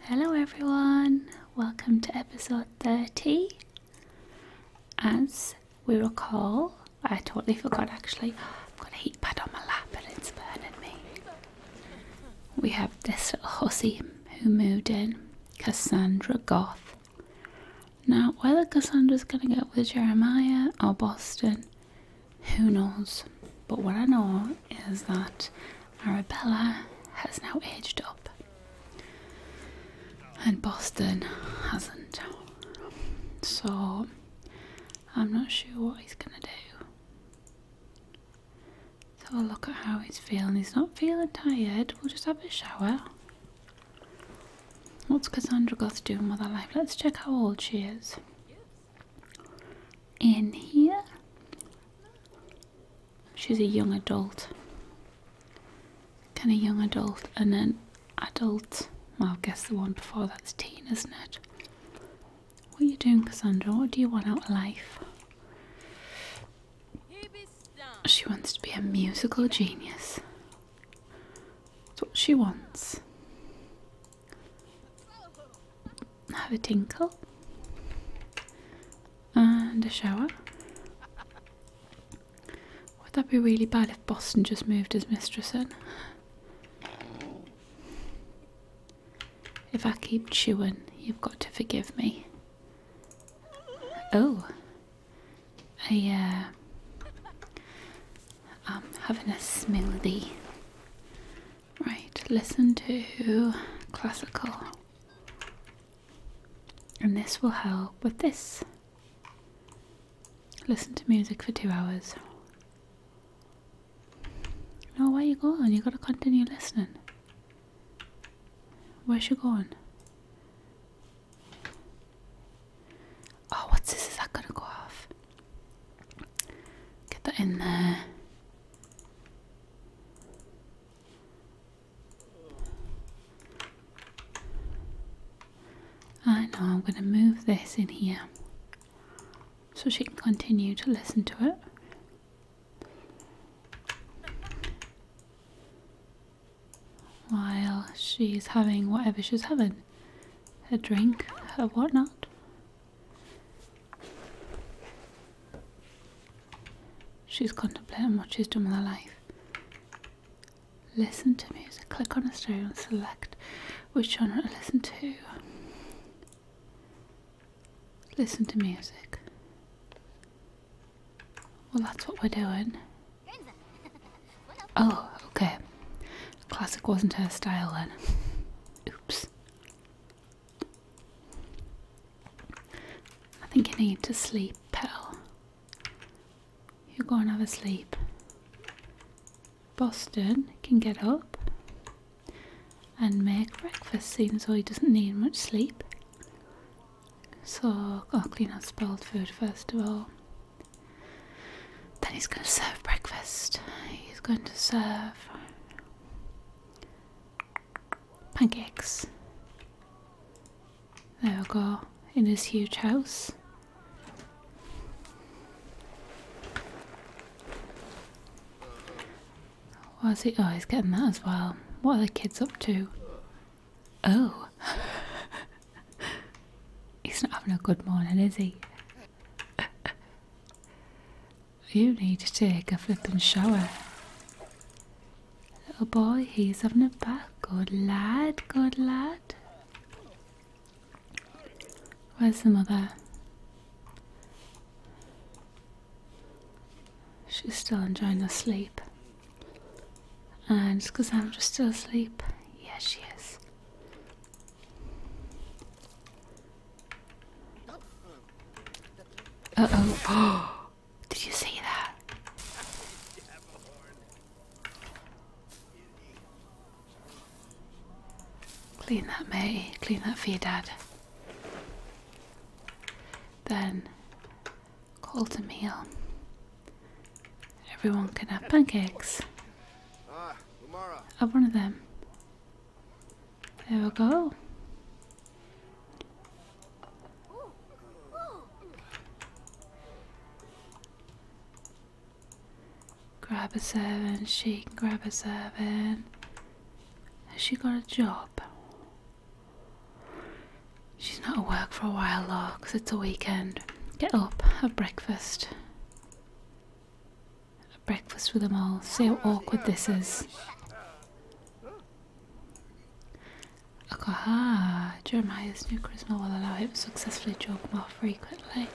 Hello, everyone, welcome to episode 30. As we recall, I totally forgot actually, I've got a heat pad on my lap and it's burning me. We have this little hussy who moved in, Cassandra Goth. Now, whether Cassandra's going to get with Jeremiah or Boston, who knows? But what I know is that Arabella has now aged up, and Boston hasn't. So I'm not sure what he's gonna do. So we'll look at how he's feeling. He's not feeling tired. We'll just have a shower. What's Cassandra got to do with her life? Let's check how old she is. In here. She's a young adult, kind of young adult, and then adult. Well, I guess the one before that's teen, isn't it? What are you doing, Cassandra? What do you want out of life? She wants to be a musical genius. That's what she wants have a tinkle and a shower. Would that be really bad if Boston just moved his mistress in? If I keep chewing, you've got to forgive me. Oh, I, uh, I'm having a smoothie. Right, listen to classical. And this will help with this. Listen to music for two hours. No, are you going? You gotta continue listening. Where's you going? Oh, what's this? Is that gonna go off? Get that in there. I know I'm going to move this in here so she can continue to listen to it. While she's having whatever she's having, a drink, her whatnot. She's contemplating what she's done with her life. Listen to music. Click on a stereo and select which genre to listen to. Listen to music. Well, that's what we're doing. Oh, okay. Classic wasn't her style then. Oops. I think you need to sleep, Petal. You go and have a sleep. Boston can get up and make breakfast, seeing as he doesn't need much sleep. So I'll clean up spilled food first of all. Then he's going to serve breakfast. He's going to serve pancakes. There we go, in his huge house. What's he? Oh, he's getting that as well. What are the kids up to? Oh. he's not having a good morning, is he? You need to take a flippin' shower. Little boy, he's having a bath. Good lad, good lad. Where's the mother? She's still enjoying her sleep. And because I'm just still asleep. Yes, she is. Uh oh. Did you see that? Clean that, mate. Clean that for your dad. Then, call to meal. Everyone can have pancakes. Ah, have one of them. There we go. Grab a seven, she can grab a seven. Has she got a job? She's not at work for a while though, because it's a weekend. Get up, have breakfast. Have breakfast with them all. See how awkward this is. Akaha! Jeremiah's new charisma will allow him to successfully joke more frequently.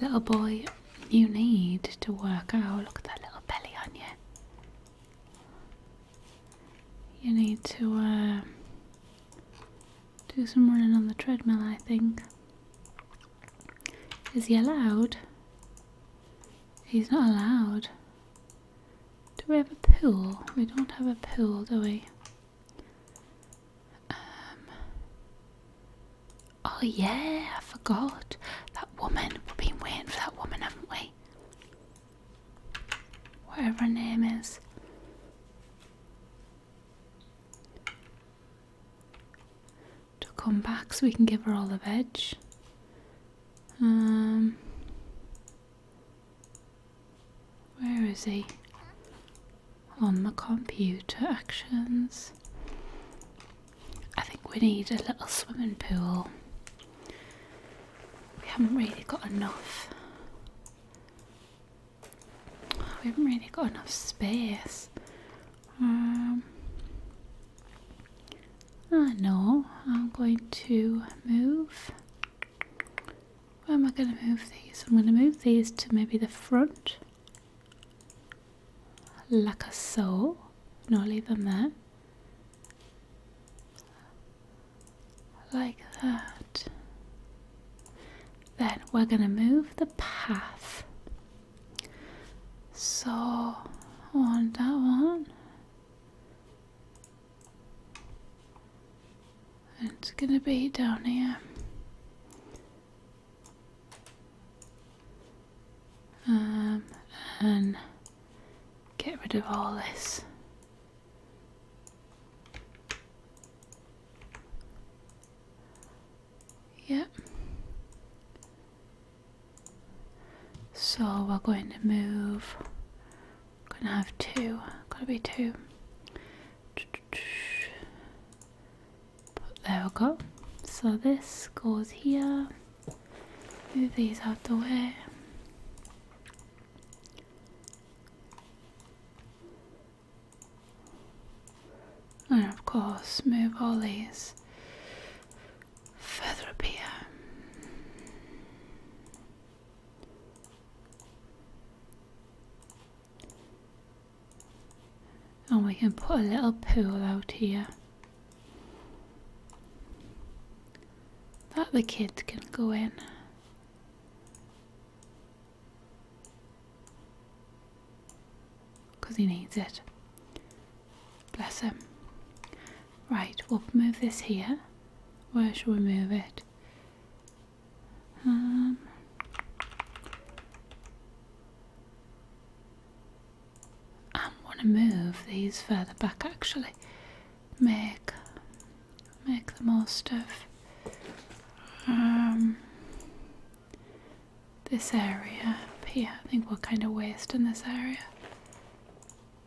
Little boy, you need to work out. Look at that little belly on you. You need to uh, do some running on the treadmill, I think. Is he allowed? He's not allowed. Do we have a pill? We don't have a pill, do we? Um, oh yeah, I forgot. That woman. We've been waiting for that woman, haven't we? Whatever her name is to come back so we can give her all the veg. Um, where is he? On the computer actions. I think we need a little swimming pool. We haven't really got enough. Oh, we haven't really got enough space. Um, I ah, I'm going to move. Where am I going to move these? I'm going to move these to maybe the front. Like a so. Not leave them there. Like that then we're going to move the path so on that one it's going to be down here um, and get rid of all this Yep. So we're going to move. Going to have two. going to be two. But there we go. So this goes here. Move these out the way. And of course, move all these further up here. And we can put a little pool out here that the kids can go in. Because he needs it. Bless him. Right, we'll move this here. Where shall we move it? Um. I want to move these further back actually. Make make the most of um, this area here. I think we're kind of wasting this area.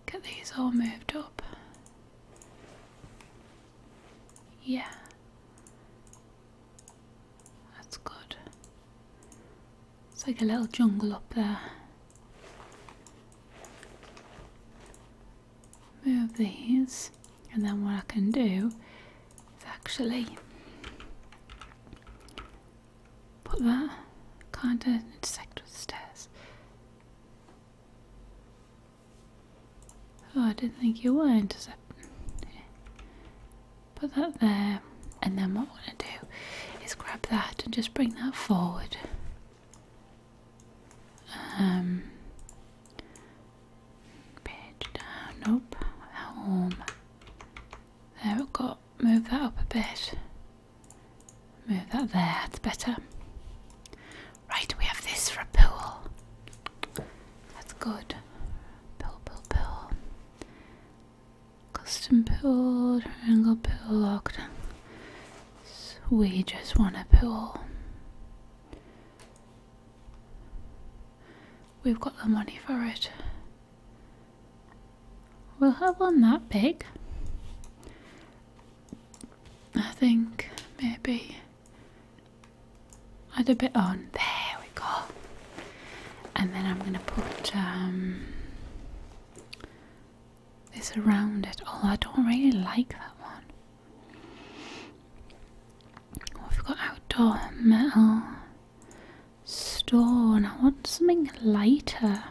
Get these all moved up. Yeah. That's good. It's like a little jungle up there. Move these and then what I can do is actually put that kind of intersect with the stairs. Oh, I didn't think you were intercepting. Put that there, and then what I want to do is grab that and just bring that forward. Um, Page down, nope, home. There we go, move that up a bit. Move that there, that's better. Right, we have this for a pool. That's good. Pool, pool, pool. Custom pill, triangle pool, locked. we just want a pool. We've got the money for it. We'll have one that big. I think maybe add a bit on. There we go. And then I'm going to put um, this around it. Oh, I don't really like that one. Oh, we've got outdoor metal stone. I want something lighter.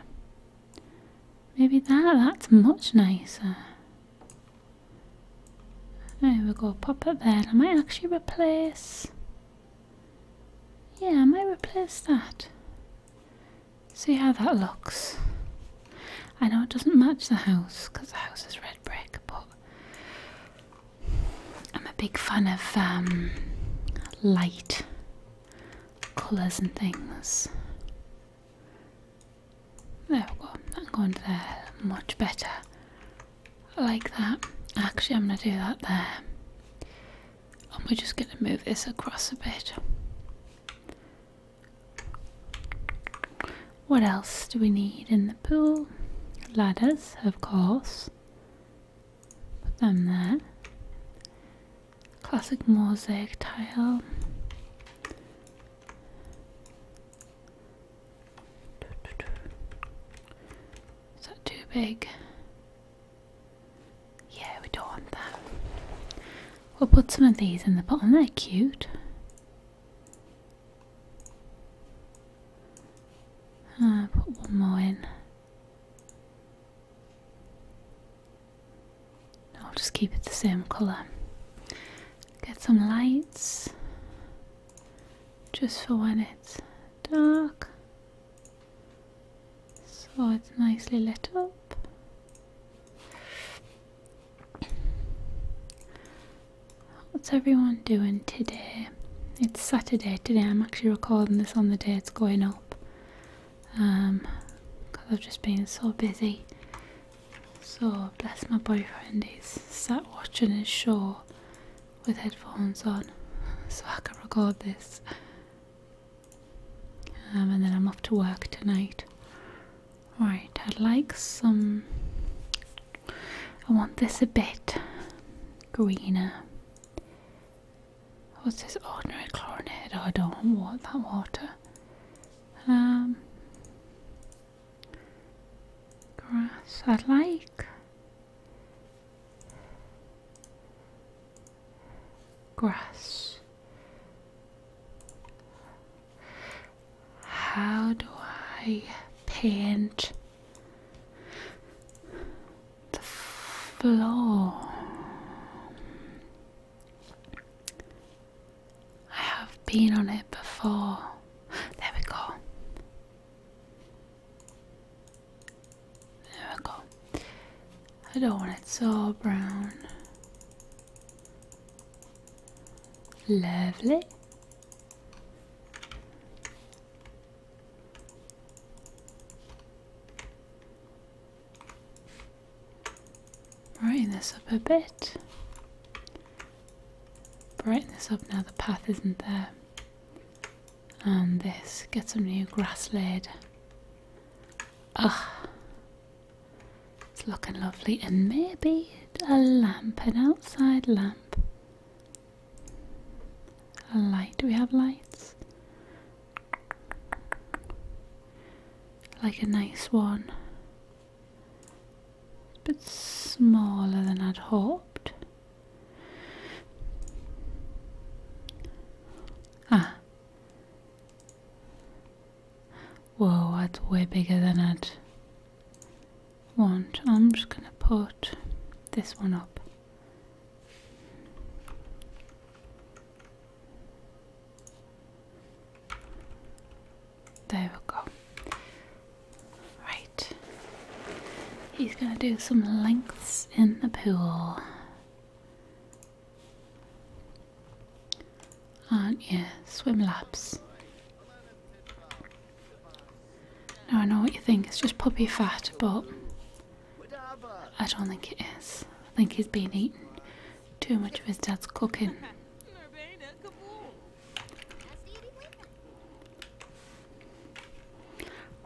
Maybe that, that's much nicer. There we go, pop it there. I might actually replace. Yeah, I might replace that. See how that looks. I know it doesn't match the house because the house is red brick, but I'm a big fan of um, light colours and things. There we go, that go into there much better. I like that. Actually, I'm going to do that there. And we're just going to move this across a bit. What else do we need in the pool? Ladders, of course. Put them there. Classic mosaic tile. Is that too big? Yeah, we don't want that. We'll put some of these in the bottom, they're cute. Uh, put one more in. I'll just keep it the same colour. Get some lights just for when it's dark so it's nicely lit up. What's everyone doing today? It's Saturday today. I'm actually recording this on the day it's going up. Um, because I've just been so busy. So, bless my boyfriend, he's sat watching his show with headphones on so I can record this. Um, and then I'm off to work tonight. Right, I'd like some I want this a bit greener. What's this ordinary chlorinated? Oh, I don't want that water. Um, grass. i like grass. How do I paint? the floor. I have been on it before. There we go. There we go. I don't want it so brown. Lovely. Brighten this up a bit. Brighten this up now the path isn't there. And this, get some new grass laid. Ah, it's looking lovely, and maybe a lamp, an outside lamp. A light, we have lights. Like a nice one. but smaller than I'd hoped. Ah. Whoa, that's way bigger than i want. I'm just going to put this one up. There we go. Right. He's going to do some lengths in the pool. Aren't you? Swim laps. Now I know what you think, it's just puppy fat, but I don't think it is. I think he's been eating too much of his dad's cooking.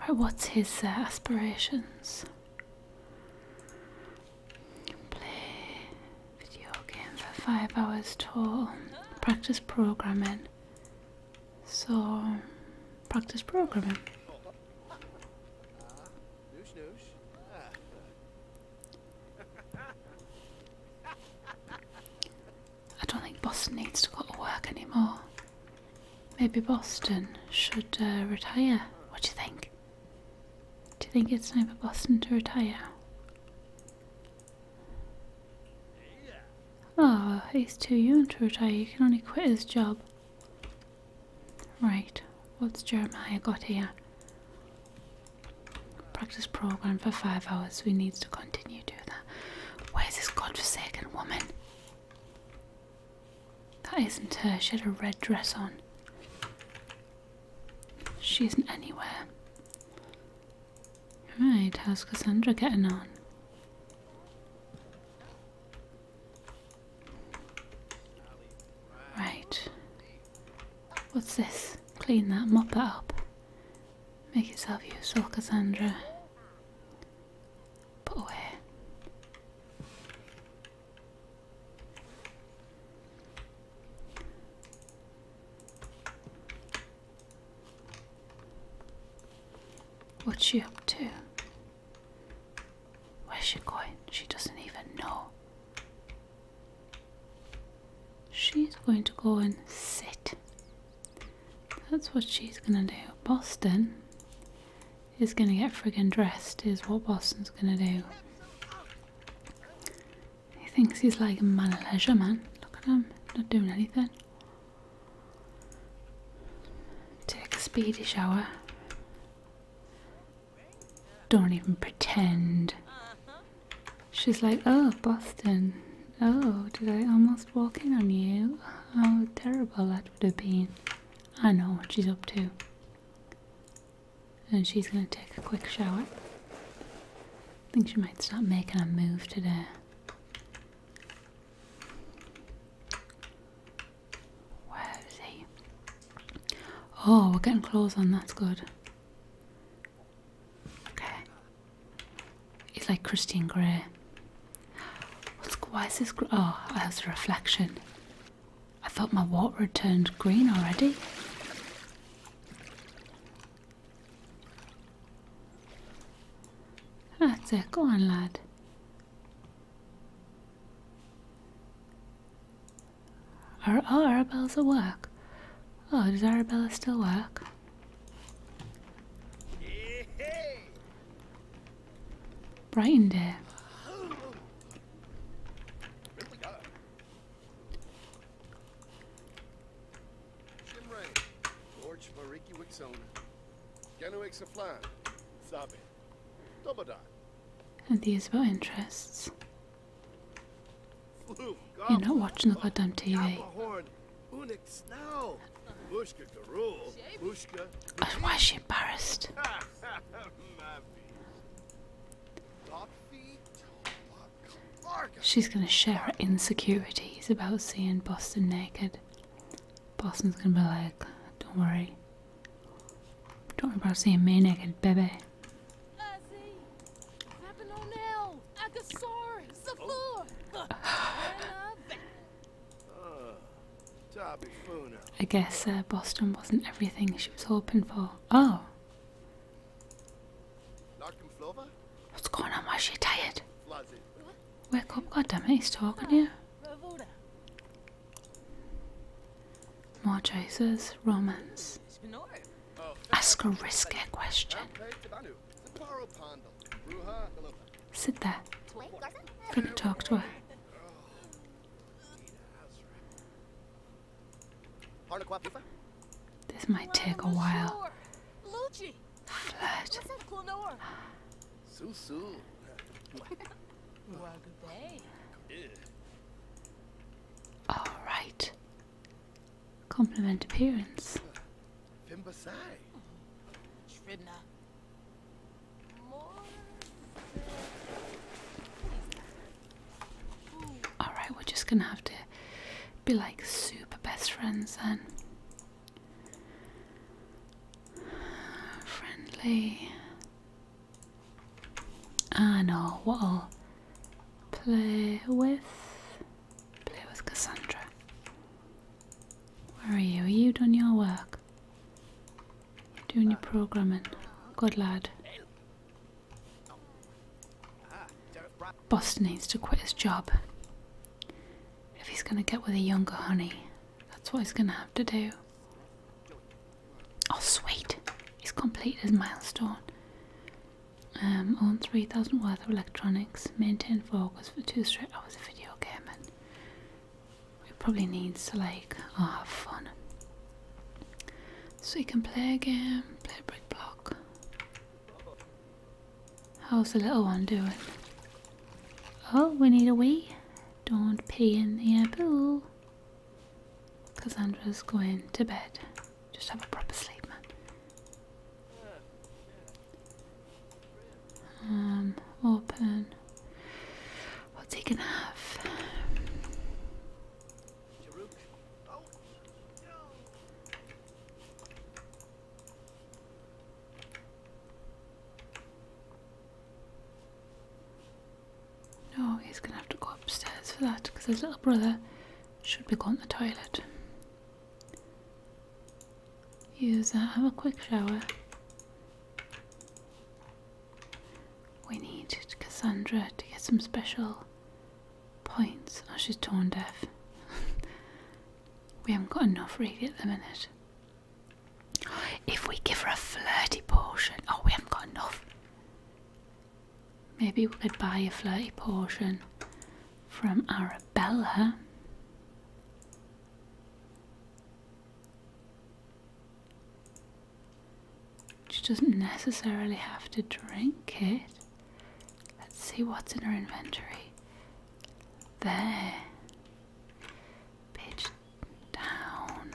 Right, what's his uh, aspirations? Play video game for five hours total. Practice programming. So, practice programming. I don't think Boston needs to go to work anymore. Maybe Boston should uh, retire. What do you think? Do you think it's time for Boston to retire? Ah, oh, he's too young to retire. He can only quit his job. Right, what's Jeremiah got here? Practice program for five hours, We need to continue doing that. Where's this godforsaken woman? That isn't her. She had a red dress on. She isn't anywhere. Alright, how's Cassandra getting on? Right. What's this? Clean that, mop that up. Make yourself useful, Cassandra. Put away. What's she up to? Where's she going? She doesn't even know. She's going to go and sit. That's what she's gonna do. Boston is gonna get friggin' dressed, is what Boston's gonna do. He thinks he's like a man of leisure, man. Look at him, not doing anything. Take a speedy shower. Don't even pretend. She's like, oh, Boston. Oh, did I almost walk in on you? How terrible that would have been. I know what she's up to. And she's going to take a quick shower. I think she might stop making a move today. Where is he? Oh, we're getting close. on, that's good. Okay. He's like Christian Grey. why is this? Oh, that was a reflection. I thought my water had turned green already. That's it. Go on, lad. Are all Arabella's a work? Oh, does Arabella still work? Brightened dear. Shimray, Gorch Mariki Wixona, Genuig Saflan, Sabe, Dobodot. And interests. You're not watching the goddamn TV. why is she embarrassed? She's going to share her insecurities about seeing Boston naked. Boston's going to be like, don't worry. Don't worry about seeing me naked, baby. I guess uh, Boston wasn't everything she was hoping for. Oh! What's going on? Why is she tired? Wake up, goddammit, he's talking here. More choices, romance. Ask a risky question. Sit there. Gonna talk to her. This might take a while. Flirt. Alright. Compliment appearance. Alright, we're just gonna have to be like super best friends then. Friendly. Ah no, what'll play with? Play with Cassandra. Where are you? Are you done your work? Doing your programming. Good lad. Buster needs to quit his job. If he's gonna get with a younger honey, that's what he's gonna have to do. Oh, sweet! He's completed his milestone. Um, own 3,000 worth of electronics, maintain focus for two straight hours of video gaming. It probably needs to, like, ah, have fun. So you can play a game, play a brick block, How's the little one doing? Oh, we need a wee. Don't pee in the pool. Cassandra's going to bed. Just have a proper sleep, man. Um, open. What's he gonna have? No, he's gonna have to go upstairs for that because his little brother should be going to the toilet. Use that, have a quick shower. We need Cassandra to get some special points. Oh, she's torn deaf. we haven't got enough really at the minute. If we give her a flirty portion, oh, we haven't got enough. Maybe we could buy a flirty portion from Arabella. She doesn't necessarily have to drink it. Let's see what's in her inventory. There. Pitch down.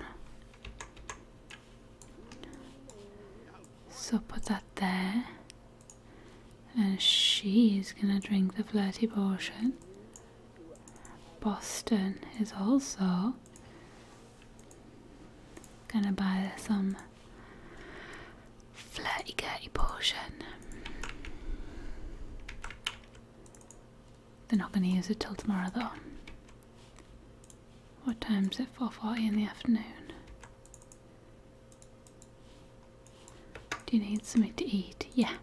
So put that there. And she's gonna drink the flirty potion. Boston is also gonna buy some flirty-girty portion. They're not going to use it till tomorrow though. What time is it? 4.40 in the afternoon. Do you need something to eat? Yeah.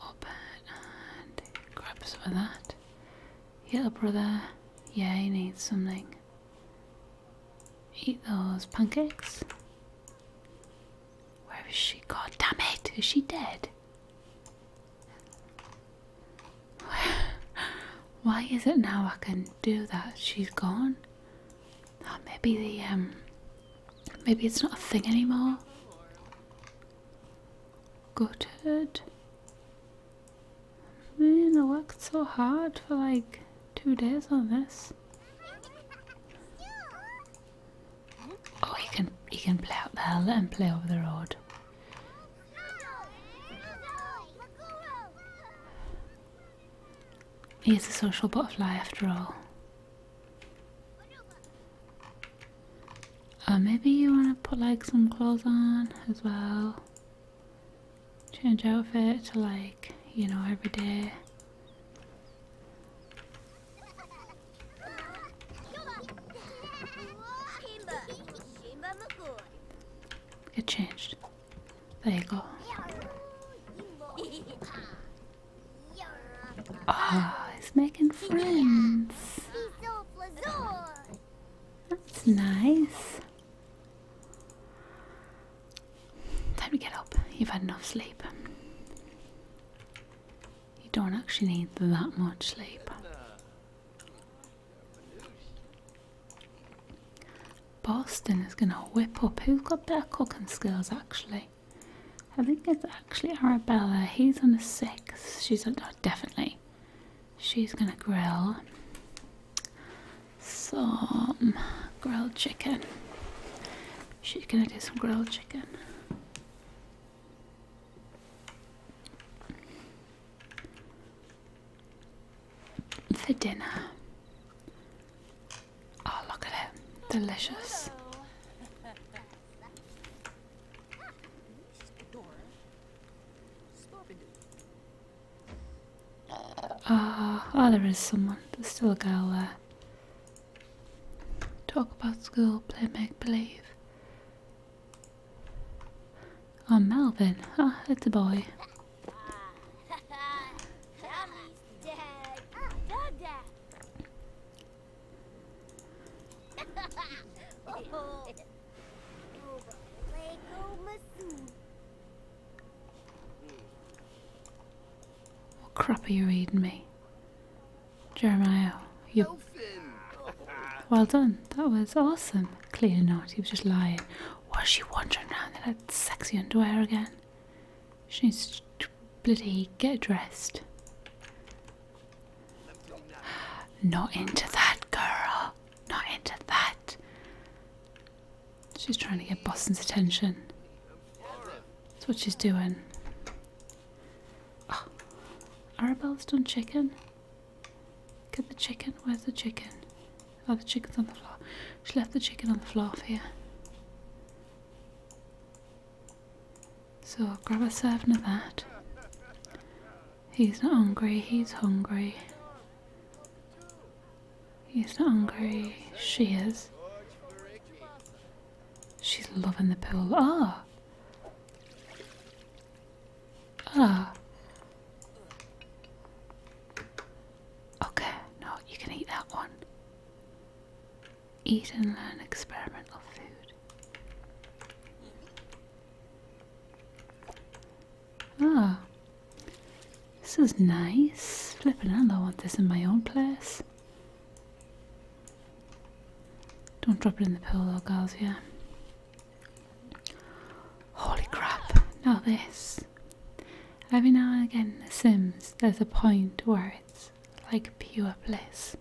Open and grab some of that. Little brother, yeah, he needs something. Eat those pancakes. Where is she? God damn it! Is she dead? Why is it now I can do that? She's gone. Ah, maybe the um, maybe it's not a thing anymore. Gutted. I mean, I worked so hard for like two days on this. Oh, he can he can play out there. Let him play over the road. He's a social butterfly after all. Or oh, maybe you want to put like some clothes on as well. Change outfit to like, you know, every day. Get changed. There you go. Ah, he's making friends. That's nice. Time to get up. You've had enough sleep. You don't actually need that much sleep. Boston is gonna whip up. Who's got better cooking skills actually? I think it's actually Arabella. He's on the sixth. She's on, oh, definitely. She's gonna grill some grilled chicken. She's gonna do some grilled chicken. For dinner. Oh, look at it. Delicious. Ah, uh, there is someone. There's still a girl there. Talk about school, play make believe. Oh, Melvin. Ah, it's a boy. What crap are you reading me? Jeremiah, you. Well done. That was awesome. Clearly not. He was just lying. Was she wandering around in that sexy underwear again? She needs bloody get dressed. Not into that, girl. Not into that. She's trying to get Boston's attention. That's what she's doing. Oh, Arabelle's done chicken. Get the chicken. Where's the chicken? Oh, the chicken's on the floor. She left the chicken on the floor for you. So grab a serving of that. He's not hungry, he's hungry. He's not hungry. She is. She's loving the pool. Ah! Ah! Okay, no, you can eat that one. Eat and learn experimental food. Ah, this is nice. Flipping hell, I want this in my own place. Don't drop it in the pillow, girls, yeah. Holy crap, Now this. Every now and again in The Sims, there's a point where it's like pure bliss.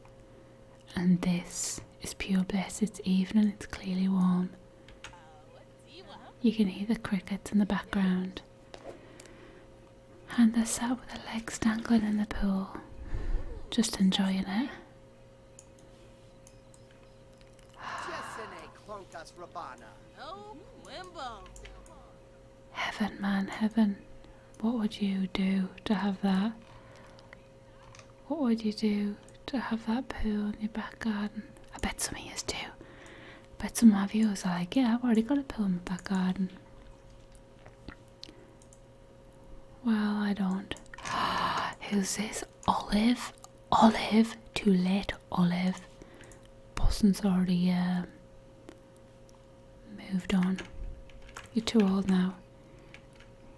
And this is pure bliss. It's evening, it's clearly warm. You can hear the crickets in the background. And they're sat with their legs dangling in the pool, just enjoying it. heaven, man, heaven. What would you do to have that? What would you do to have that pool in your back garden? I bet some of yous do. But to my viewers are like, yeah, I've already got a pill in my back garden. Well, I don't. Who's this? Olive? Olive? Too late, Olive. Boston's already uh, moved on. You're too old now.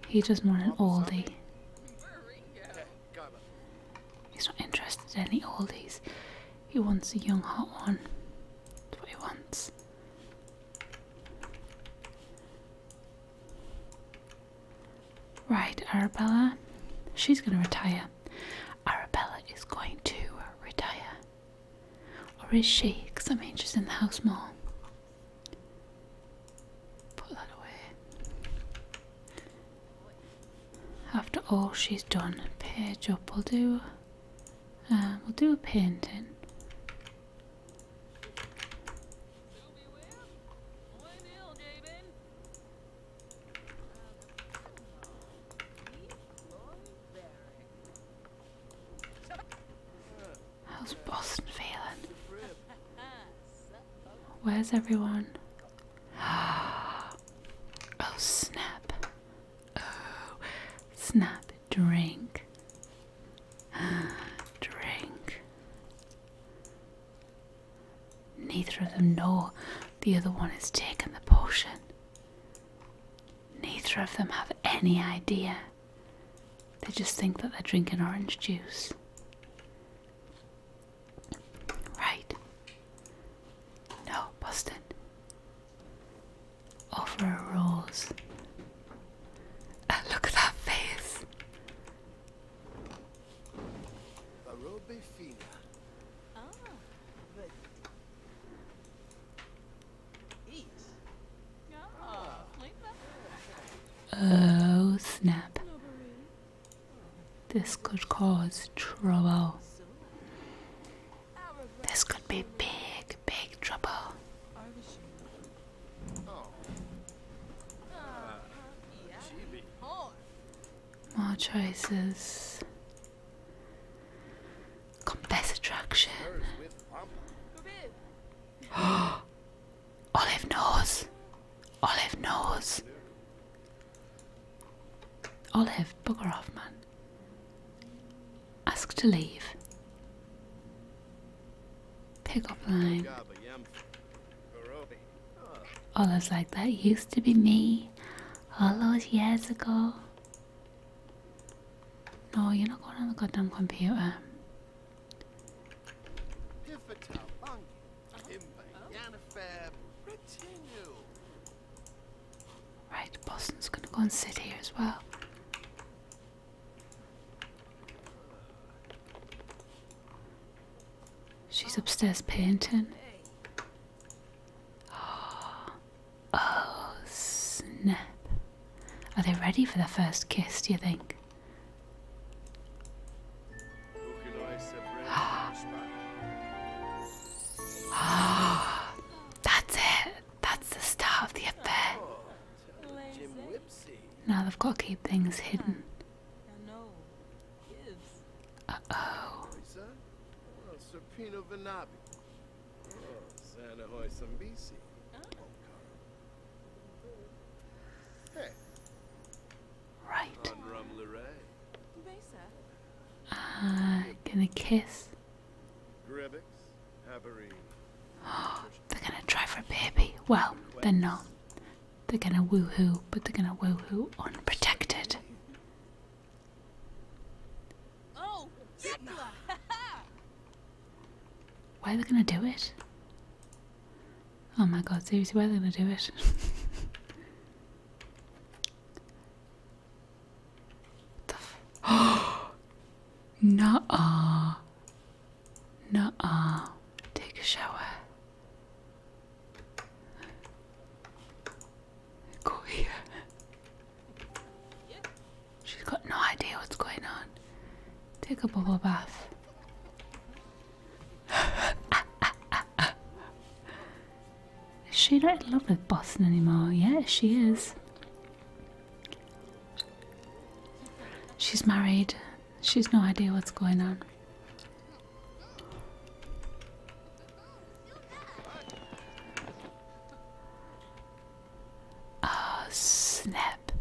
He just want an oldie. He's not interested in any oldies. He wants a young hot one. That's what he wants. Right, Arabella. She's going to retire. Arabella is going to retire. Or is she? Because I mean, she's in the house more. Put that away. After all she's done, page up. We'll do, um, we'll do a painting. How's Boston feeling? Where's everyone? Oh, snap. Oh, snap. Drink. Drink. Neither of them know the other one has taken the potion. Neither of them have any idea. They just think that they're drinking orange juice. Right. No, Boston. Over rules. look at that face. Ah, oh, snap. This could cause trouble. This could be big, big trouble. More choices. Compass attraction. Olive nose. Olive nose. Olive, bugger off, man. Ask to leave. Pick up line. Olive's like, that used to be me all those years ago. No, you're not going to on the goddamn computer. Right, Boston's gonna go and sit here as well. She's upstairs panting. Oh, snap. Are they ready for the first kiss, do you think? Oh, that's it. That's the start of the affair. Now they've got to keep things hidden. Uh oh. Right. Uh, gonna kiss. they're gonna try for a baby. Well, they're not. They're gonna woohoo, but they're gonna woohoo unprotected. Oh, why are they gonna do it? Oh my god, seriously, why are they gonna do it? Oh, nuh-uh. Take a shower. Go here. She's got no idea what's going on. Take a bubble bath. Is she not in love with Boston anymore? Yeah, she is. She's married. She's no idea what's going on. Oh, snap.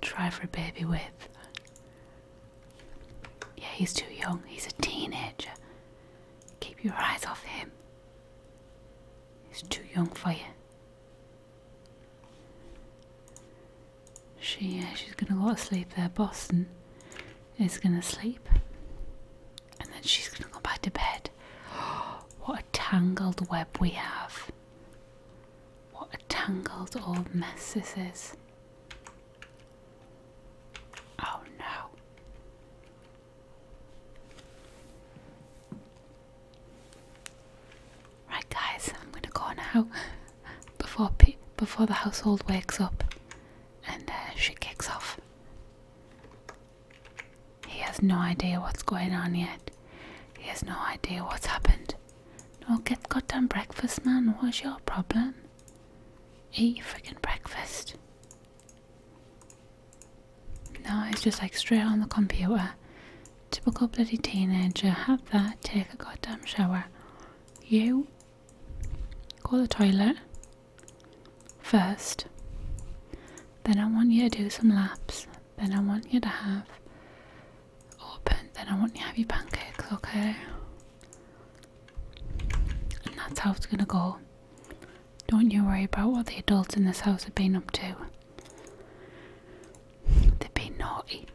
Try for a baby with. Yeah, he's too young. He's a teenager. Keep your eyes off him. He's too young for you. She, she's gonna go to sleep there. Boston is gonna sleep, and then she's gonna go back to bed. what a tangled web we have! What a tangled old mess this is. Oh no. Right, guys, I'm gonna go now before before the household wakes up and uh, she kicks off. He has no idea what's going on yet. He has no idea what's happened. No, get goddamn breakfast, man. What's your problem? Eat your freaking breakfast. No, it's just like straight on the computer. Typical bloody teenager. Have that, take a goddamn shower. You go to the toilet first. Then I want you to do some laps. Then I want you to have open. Then I want you to have your pancakes, okay? And that's how it's going to go. Don't you worry about what the adults in this house have been up to. They've been naughty.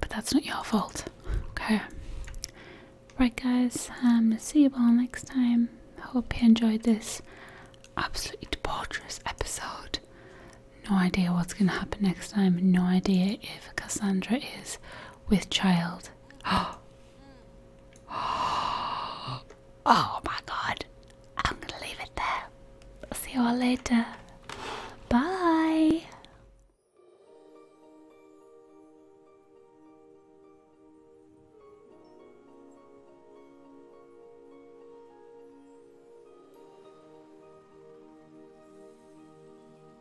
But that's not your fault. Okay. Right guys, um see you all next time. Hope you enjoyed this absolutely debaucherous episode. No idea what's gonna happen next time, no idea if Cassandra is with child. oh my god. I'm gonna leave it there. see you all later. Bye.